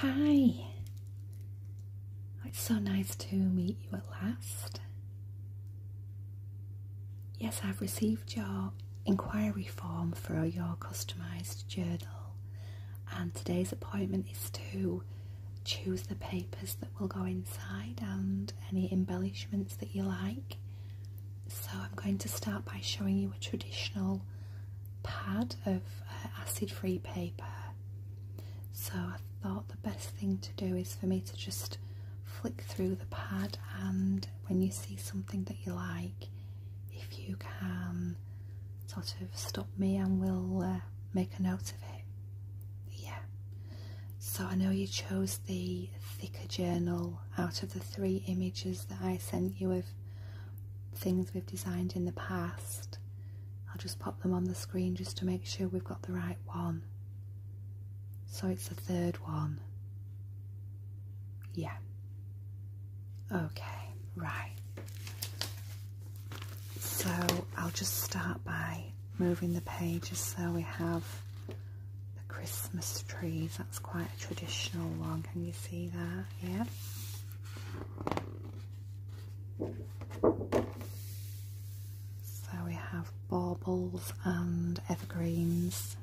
Hi! It's so nice to meet you at last. Yes, I've received your inquiry form for your customised journal, and today's appointment is to choose the papers that will go inside and any embellishments that you like. So I'm going to start by showing you a traditional pad of uh, acid-free paper. So I thought the best thing to do is for me to just flick through the pad and when you see something that you like, if you can sort of stop me and we'll uh, make a note of it. Yeah. So I know you chose the thicker journal out of the three images that I sent you of things we've designed in the past. I'll just pop them on the screen just to make sure we've got the right one. So it's the third one. Yeah. Okay, right. So I'll just start by moving the pages so we have the Christmas trees. That's quite a traditional one. Can you see that? Yeah. So we have baubles and evergreens.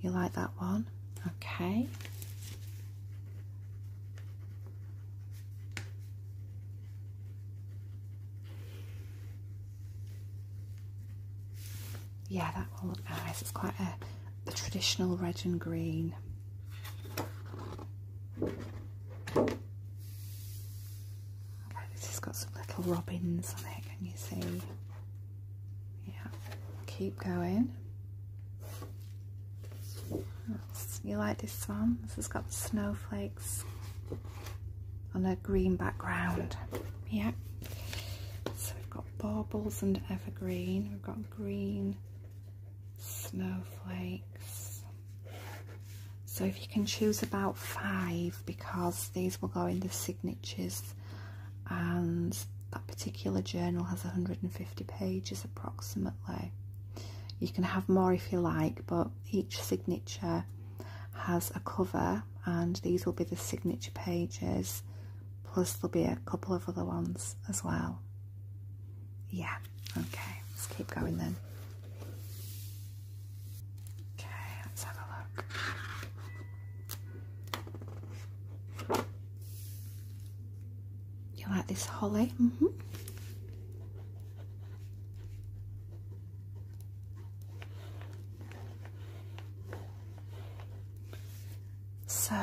You like that one? Okay. Yeah, that will look nice. It's quite a, traditional red and green. Okay, this has got some little robins on it, can you see? Yeah, keep going. you like this one? This has got snowflakes on a green background. Yeah. So we've got baubles and evergreen. We've got green snowflakes. So if you can choose about five because these will go in the signatures and that particular journal has 150 pages approximately. You can have more if you like, but each signature has a cover, and these will be the signature pages, plus there'll be a couple of other ones as well. Yeah, okay, let's keep going then. Okay, let's have a look. You like this holly? hmm. So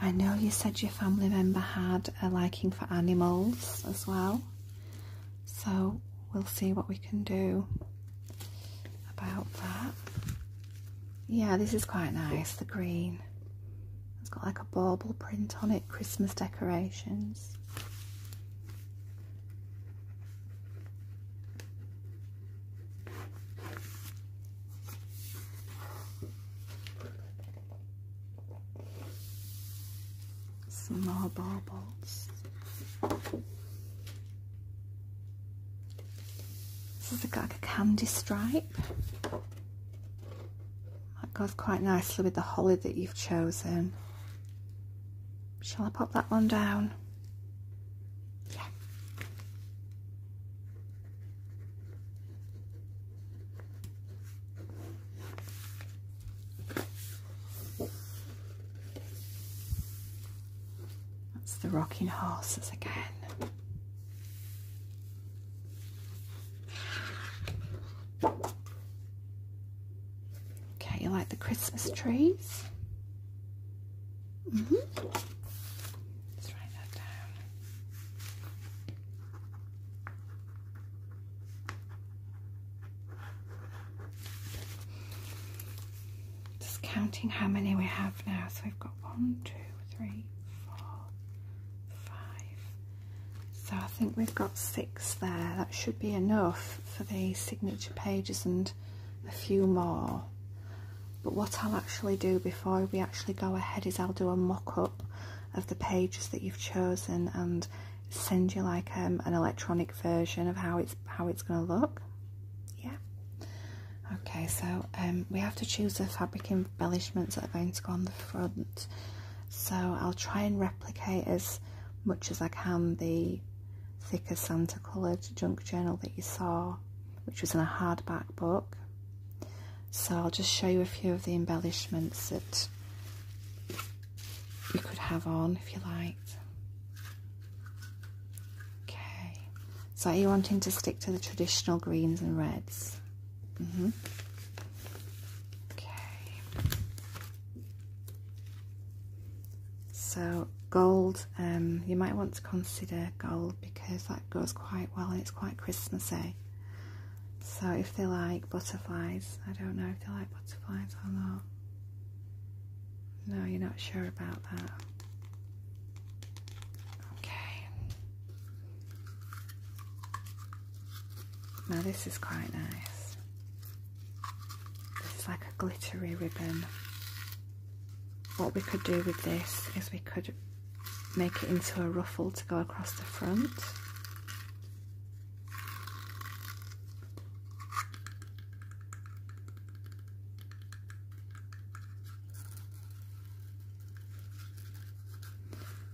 I know you said your family member had a liking for animals as well. So we'll see what we can do about that. Yeah, this is quite nice, the green. It's got like a bauble print on it, Christmas decorations. Small bubbles. This is like a candy stripe. That goes quite nicely with the holiday that you've chosen. Shall I pop that one down? Yeah. That's the rocking horses again. Okay, you like the Christmas trees? hmm Let's write that down. Just counting how many we have now. So we've got one, two, three, four, five. So I think we've got six there. That should be enough for the signature pages and a few more but what I'll actually do before we actually go ahead is I'll do a mock-up of the pages that you've chosen and send you like um, an electronic version of how it's how it's going to look yeah okay so um, we have to choose the fabric embellishments that are going to go on the front so I'll try and replicate as much as I can the thicker Santa coloured junk journal that you saw, which was in a hardback book. So I'll just show you a few of the embellishments that you could have on if you liked. Okay, so are you wanting to stick to the traditional greens and reds? hmm Okay. So gold, um, you might want to consider gold because that goes quite well and it's quite Christmassy. So if they like butterflies, I don't know if they like butterflies or not. No, you're not sure about that. Okay. Now this is quite nice. It's like a glittery ribbon. What we could do with this is we could make it into a ruffle to go across the front.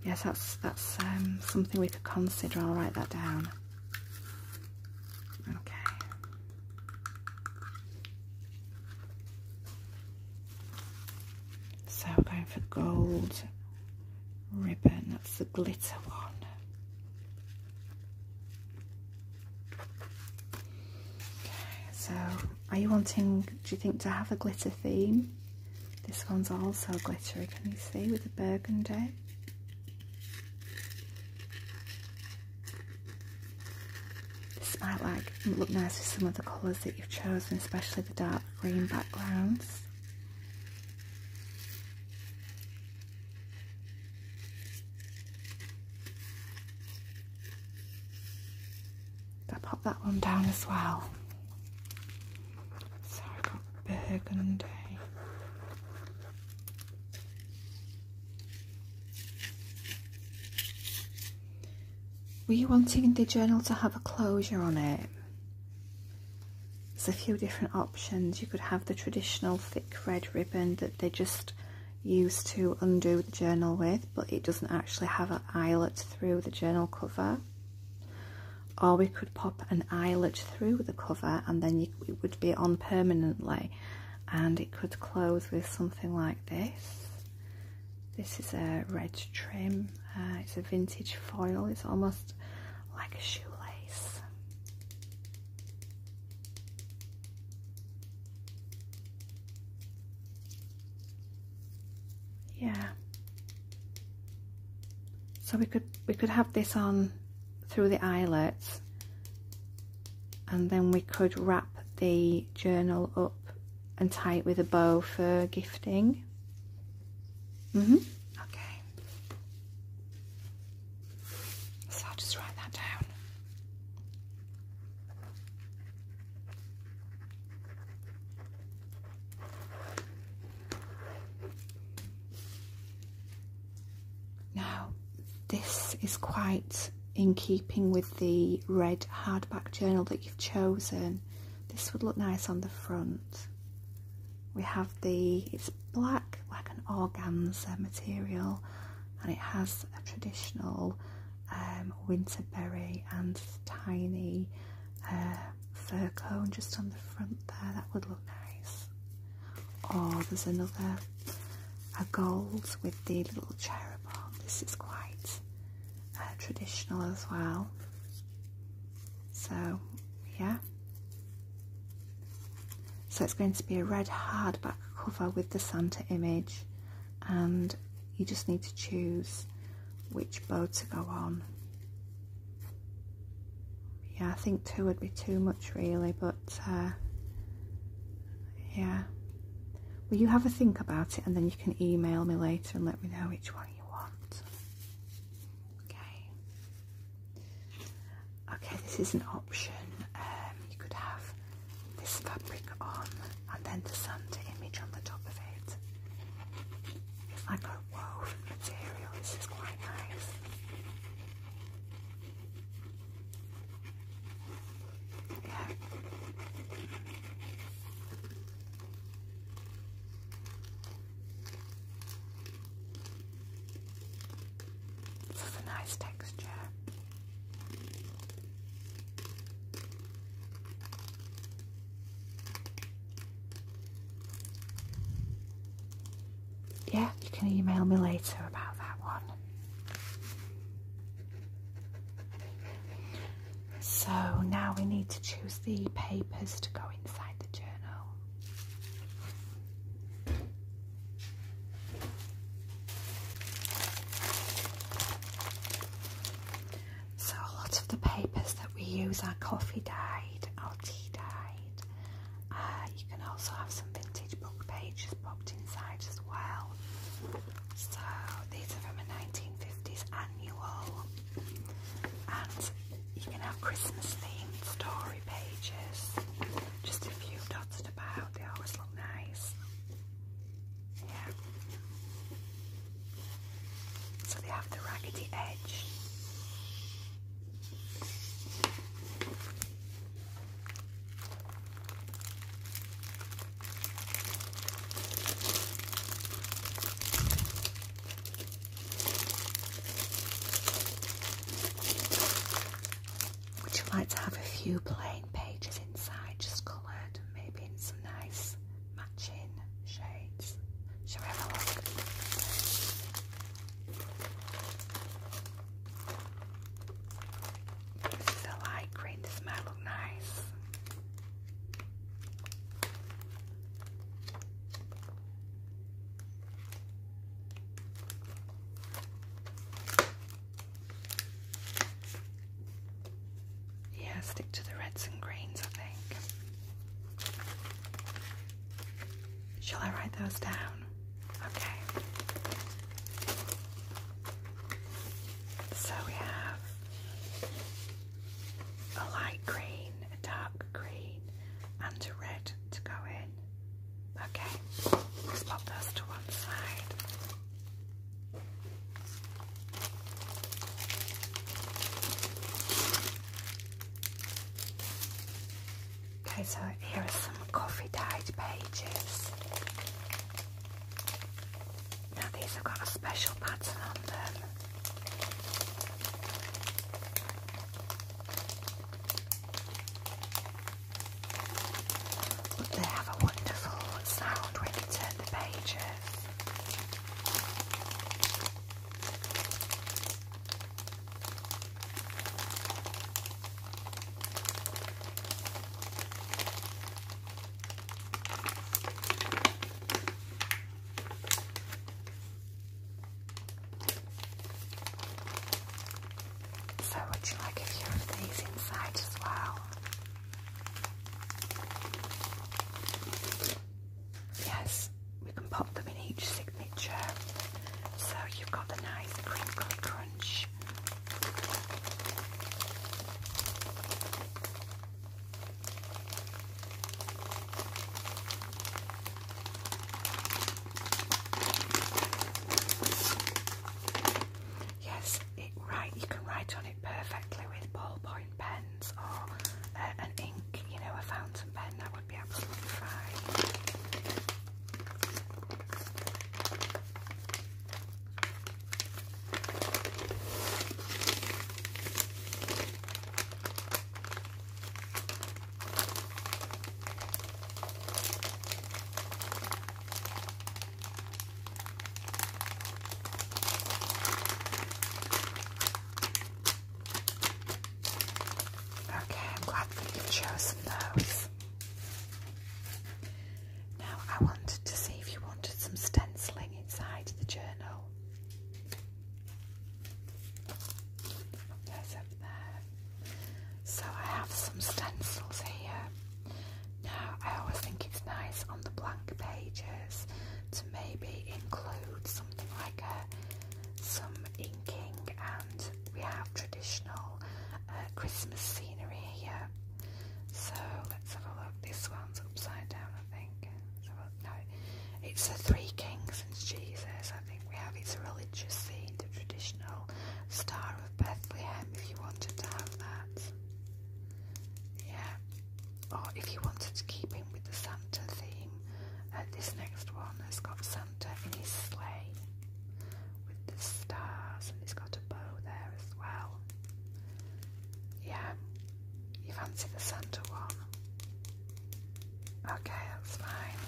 Yes, that's that's um, something we could consider. I'll write that down. Okay. So we're going for gold ribbon, that's the glitter one. Okay, so are you wanting, do you think, to have a glitter theme? This one's also glittery, can you see, with the burgundy? This might look nice with some of the colours that you've chosen, especially the dark green backgrounds. I'll pop that one down as well. So I got burgundy. Were you wanting the journal to have a closure on it? There's a few different options. You could have the traditional thick red ribbon that they just use to undo the journal with, but it doesn't actually have an eyelet through the journal cover or we could pop an eyelet through the cover and then it would be on permanently and it could close with something like this this is a red trim uh, it's a vintage foil it's almost like a shoelace yeah so we could we could have this on through the eyelets and then we could wrap the journal up and tie it with a bow for gifting. Mm-hmm. Okay. So I'll just write that down. Now, this is quite in keeping with the red hardback journal that you've chosen. This would look nice on the front. We have the, it's black, like an organza material, and it has a traditional um, winterberry and tiny uh, fur cone just on the front there, that would look nice. Or oh, there's another, a gold with the little cherub on. This is quite uh, traditional as well. So, yeah. So it's going to be a red hardback cover with the Santa image and you just need to choose which bow to go on yeah, I think two would be too much really, but uh, yeah. Well, you have a think about it and then you can email me later and let me know which one you want. Okay. Okay, this is an option. Um, you could have this fabric on and then the Santa image on the top of it. It's like a woven material. This is quite nice. Yeah. This a nice texture. Yeah, you can email me later about that one. So now we need to choose the papers to go inside the journal. So a lot of the papers that we use are coffee dyed or tea dyed. Uh, you can also have some vintage book pages popped inside as well. So these are from a 1950s annual, and you can have Christmas themed story pages. Just a few dotted about. They always look nice. Yeah. So they have the raggedy edge. Would you like to have a few plain pages inside, just coloured, maybe in some nice matching shades. Shall we have a look? This is a light green, this might look nice. Yeah, stick to the reds and greens, I think. Shall I write those down? Okay. So we have a light green, a dark green, and a red to go in. Okay, let those to one side. Okay, so here are some coffee dyed pages. Now these have got a special pattern on them. But they have a wonderful sound when you turn the pages. So, would you like a few of these inside as well? Yes, we can pop them in each signature. So you've got the nice crinkly crunch. Yes, right you can write on it perfectly with ballpoint pens or uh, an ink, you know, a fountain pen, that would be absolutely fine. Okay, I'm glad that you've chosen those. Now, I wanted to see if you wanted some stenciling inside the journal. Uh, so I have some stencils here. Now, I always think it's nice on the blank pages to maybe include something like a, some inking, and we have traditional uh, Christmas scenery here. So let's have a look. This one's upside down, I think. No, it's the Three Kings and Jesus. I think we have it's a religious scene, the traditional Star of Bethlehem. If you wanted to have that, yeah. Or oh, if you wanted to keep in with the Santa theme, uh, this next one has got Santa in his sleigh with the stars, and he has got a bow there as well. Yeah. You fancy the Santa one? Okay, that's fine.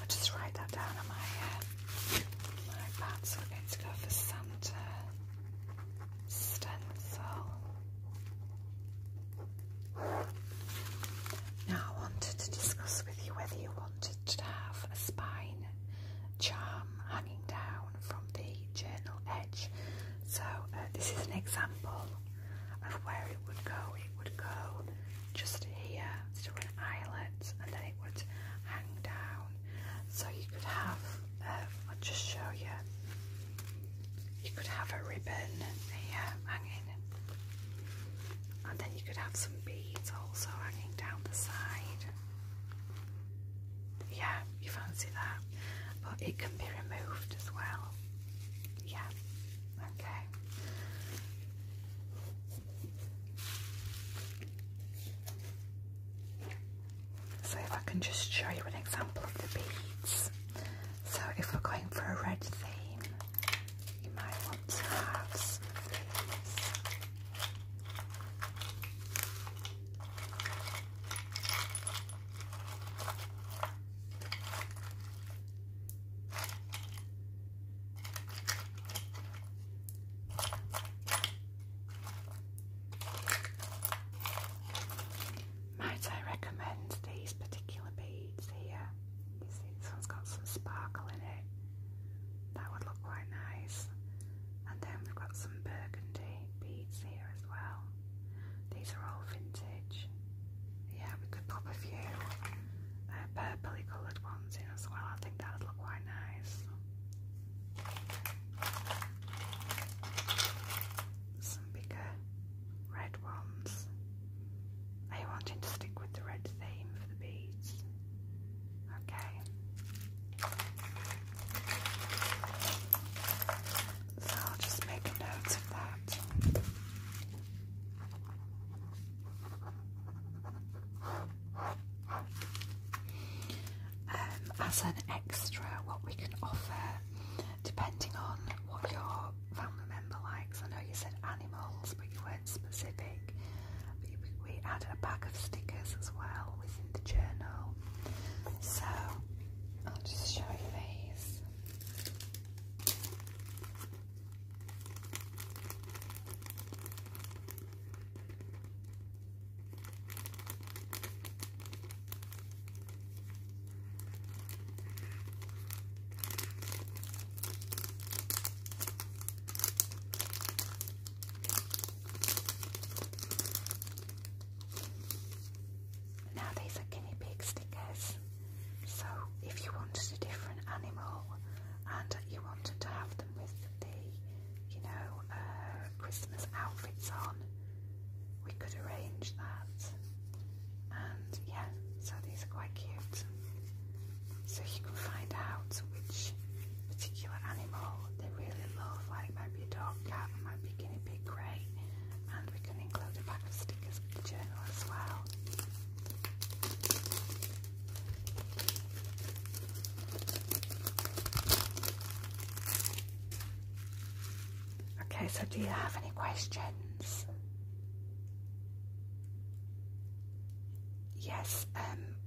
I'll just write that down on my head. Like that, are going to go for Santa stencil. Now, I wanted to discuss with you whether you wanted to have a spine charm hanging down from the journal edge. So, uh, this is an example of where it would go. It would go just here, an eyelet and then it would hang down. So you could have, um, I'll just show you, you could have a ribbon here hanging, and then you could have some beads also hanging down the side. Yeah, you fancy that, but it can be removed as well. Yeah, okay. So if I can just show you an example of the beads. So if we're going for a red theme, you might want to have some of these. Might I recommend these particular beads here? You this one's got some sparkle in it. That would look quite nice. And then we've got some burgundy beads here as well. These are all vintage. Yeah, we could pop a few uh, purpley coloured ones as well. I think that would look quite nice. Some bigger red ones. Are you wanting to stick with the red theme for the beads? Okay. So I'll just make a of that. Um, as an extra, what we can offer, depending on what your family member likes, I know you said animals, but you weren't specific. We added a pack of stickers as well within the journal. So I'll just show you these. Now these are guinea pig stickers. So if you wanted a different animal and you wanted to have them with the, you know, uh, Christmas outfits on, we could arrange that. And yeah, so these are quite cute. So you can find out which particular animal they really love, like it might be a dog, cat, it guinea pig, grey, and we can include a pack of stickers with the journal as well. Okay, so do you have any questions? Yes, um,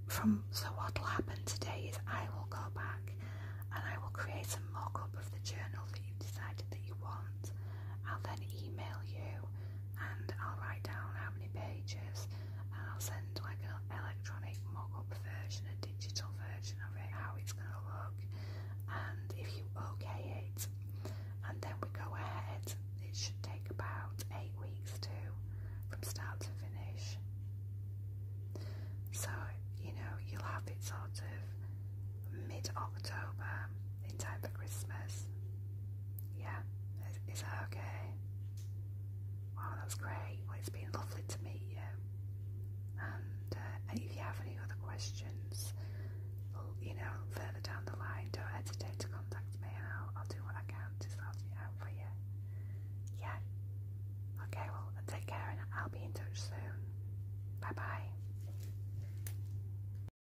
from so what will happen today is I will go back and I will create a mock up of the journal that you've decided that you want. I'll then email you and I'll write down how many pages and I'll send like an electronic mock-up version, a digital version of it, how it's going to look and if you okay it and then we go ahead. It should take about eight weeks to from start to finish. So, you know, you'll have it sort of mid October in time for Christmas. Yeah, is, that okay? Wow, that's great. Well, it's been lovely to meet you. And, uh, if you have any other questions, you know, further down the line, don't hesitate to contact me I'll, I'll do what I can to sort it out for you. Yeah. Okay, well, take care and I'll be in touch soon. Bye bye.